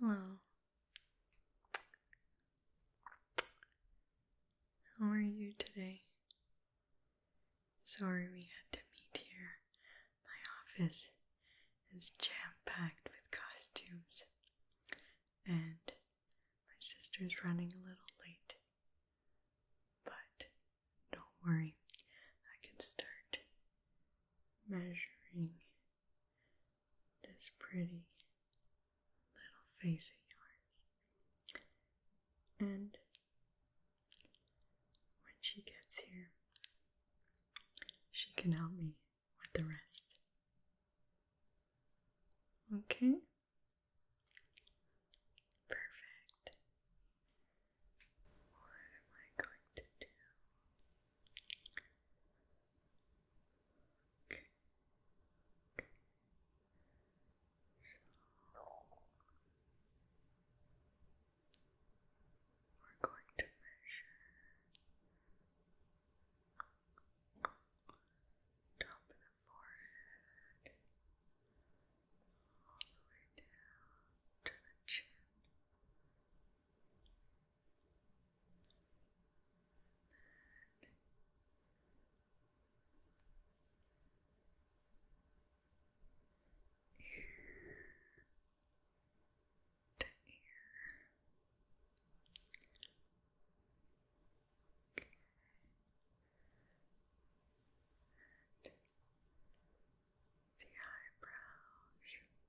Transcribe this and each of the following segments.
Hello. How are you today? Sorry we had to meet here. My office is jam packed with costumes, and my sister's running a little late. But don't worry, I can start measuring this pretty little face of yours. And when she gets here, she can help me with the rest. Okay? Perfect. What am I going to do? Okay. So we're going to measure top of the forehead, all the way down to the chin. Then ear to ear. And the eyebrows and the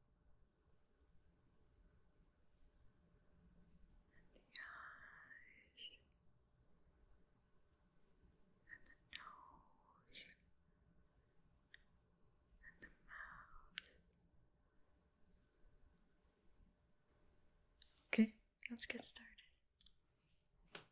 eyes and the nose and the mouth. Okay, let's get started.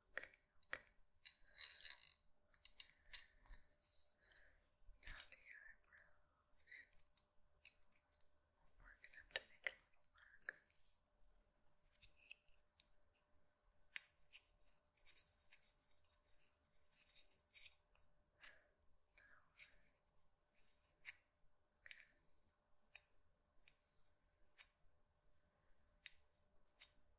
okay, okay. Now the eyebrows. We're gonna have to make a little mark. Now, okay.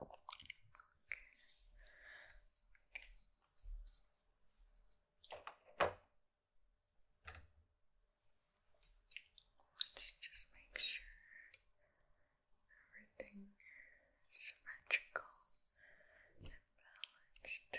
Okay. Okay. Let's just make sure everything symmetrical and balanced.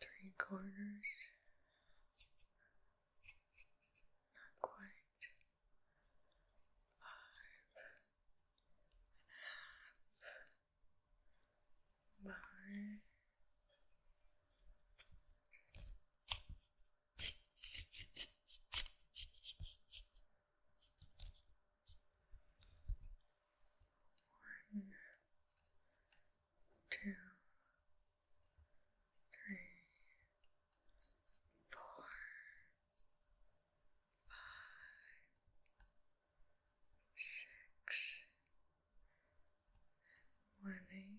Three quarters, not quite, five and a half, bar one, two, three, four, five, six, one eight, one eight, one eight. One,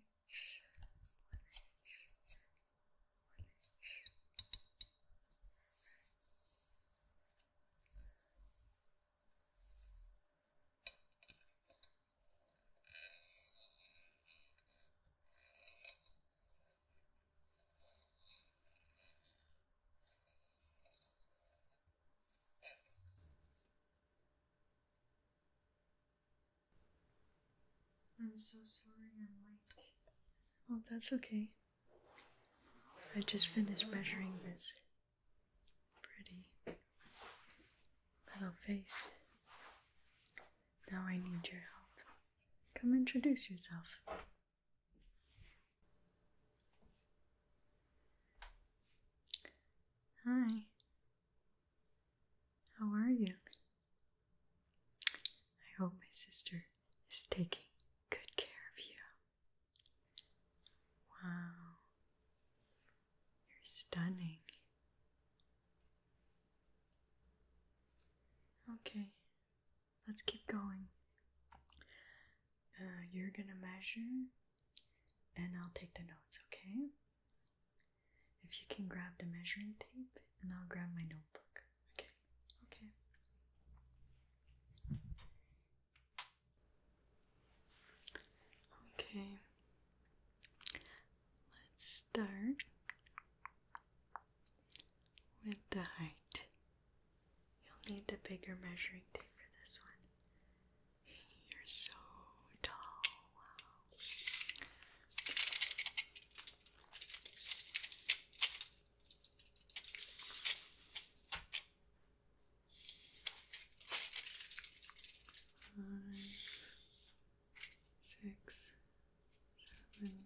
I'm so sorry I'm late. Oh, that's okay. I just finished measuring this pretty little face. Now I need your help. Come introduce yourself. Hi. How are you? I hope my sister is taking good care of you. Wow. You're stunning. Okay let's keep going. Uh, you're gonna measure, and I'll take the notes, okay? If you can grab the measuring tape, and I'll grab my notebook, okay? Okay. Okay. Let's start with the height. You'll need the bigger measuring tape for this one. You're so tall. Five, six, seven,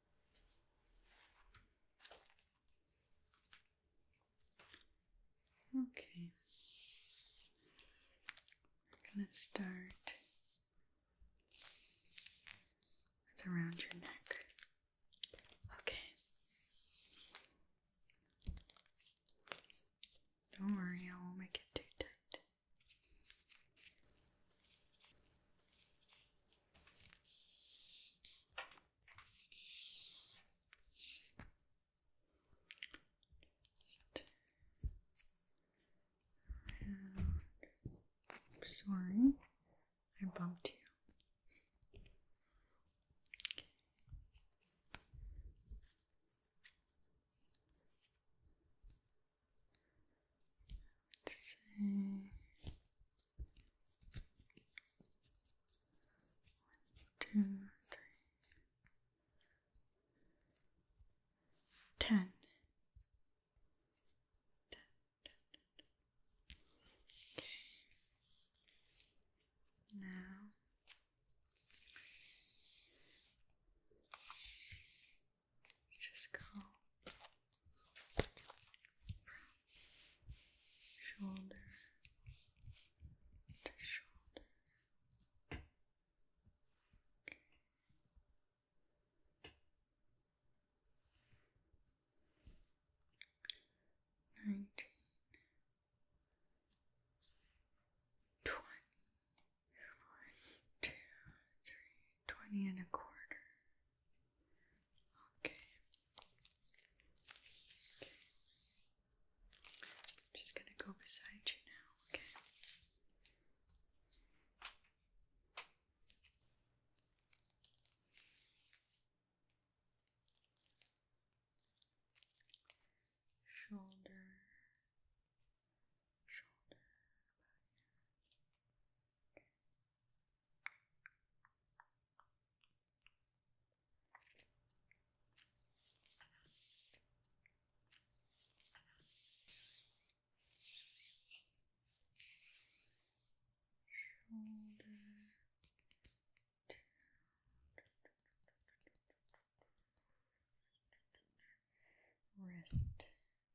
Okay, we're going to start with around your neck. Okay. Don't worry, I won't make it too tight. I'm sorry, I bumped you. Let's see. One, two, three. Ten. Ten, Okay. Now just go from shoulder to shoulder. Okay. Nineteen, twenty, one, two, three, twenty and a quarter, Okay. just gonna go beside you now, okay? Shoulder, shoulder, Shoulder. Wrist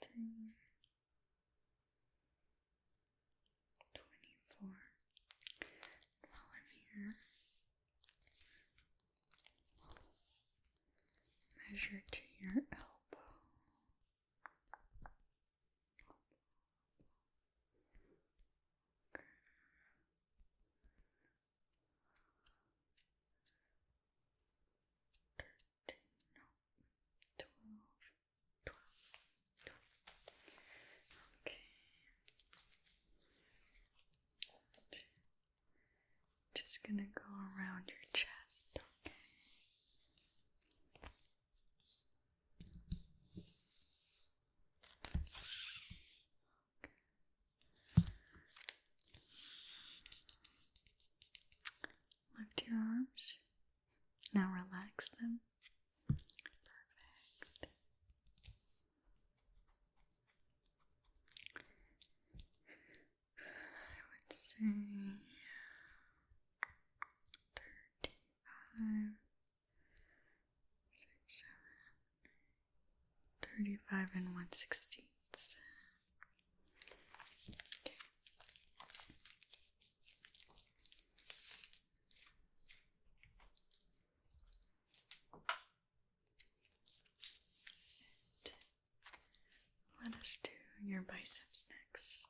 Twenty-three, twenty-four. While I'm here, measure to your elbow. Just gonna go around your chest, Lift your arms. Now relax them. Perfect. I would say thirty five, six, seven, eight, 35 and 1 sixteenths. let us do your biceps next.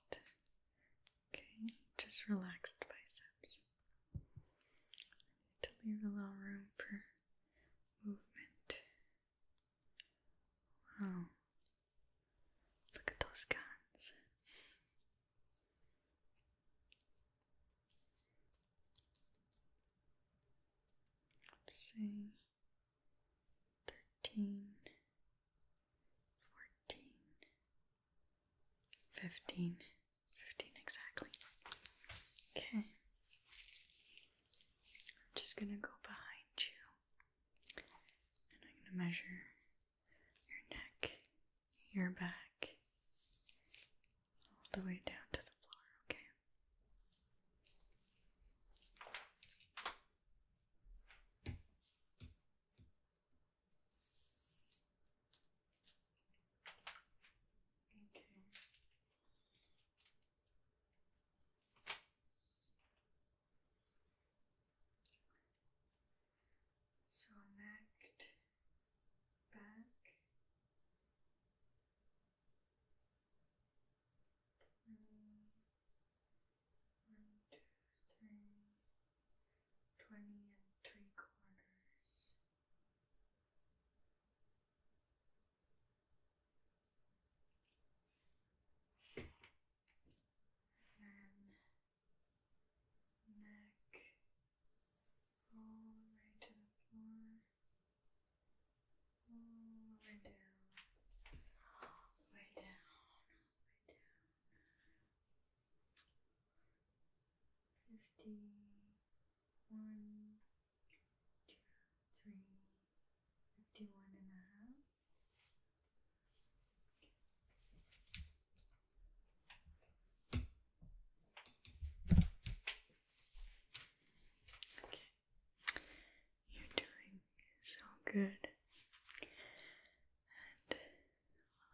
Okay, just relaxed biceps. need to leave a little room for movement. Wow. Look at those guns. Let's see. Thirteen fourteen, fifteen, fifteen exactly. Okay. I'm just gonna go behind you and I'm gonna measure your neck, your back, all the way down to the floor, okay? Okay. So neck, back, hmm one, two, three, twenty and three quarters. And then neck all the way to the floor, all the way down, all the way down, way down. Fifty one, two, three, fifty one and a half. Okay. You're doing so good. And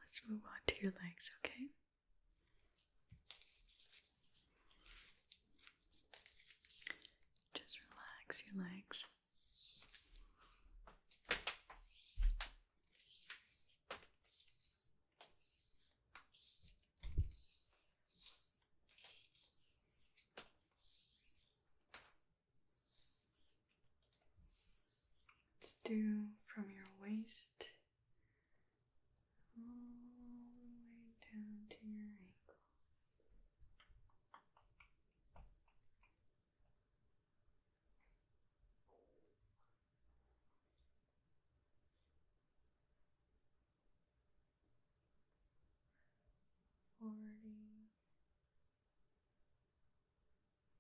let's move on to your legs, okay? Just relax your legs. Let's do from your waist all the way down to your ankle. Forty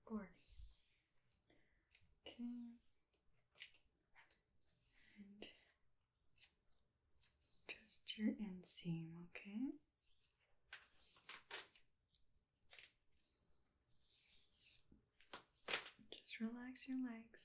or okay. And just your inseam, okay? Just relax your legs.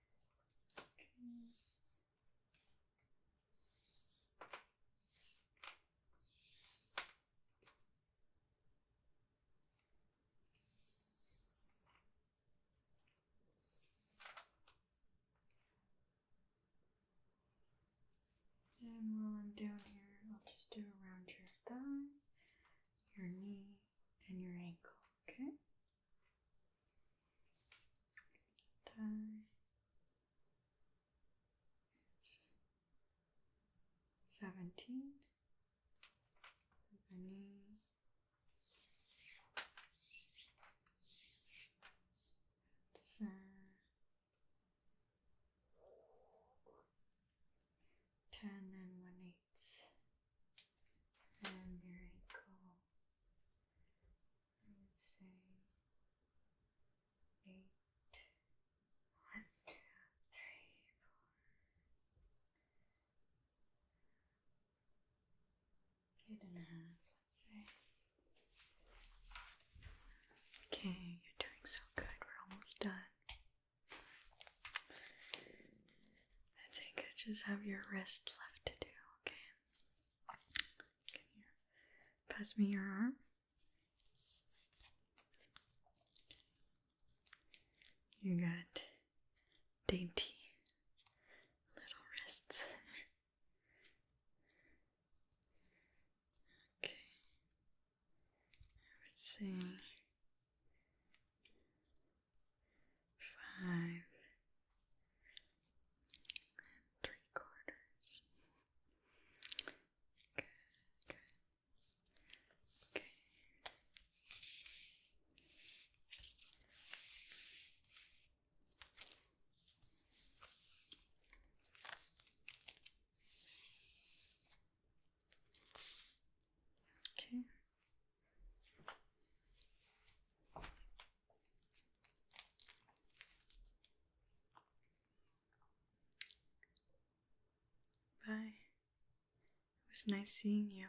And while I'm down here, I'll just do around your thigh, your knee, and your ankle, okay? Thigh. Seventeen. The knee. And there I go. I would say eight. One, and a half, let's say. Okay, you're doing so good. We're almost done. I think I just have your wrist left to do, okay? Can you pass me your arm? You got dainty little wrists. okay. I would say five and three quarters. Good, Okay. Okay. Bye. It was nice seeing you.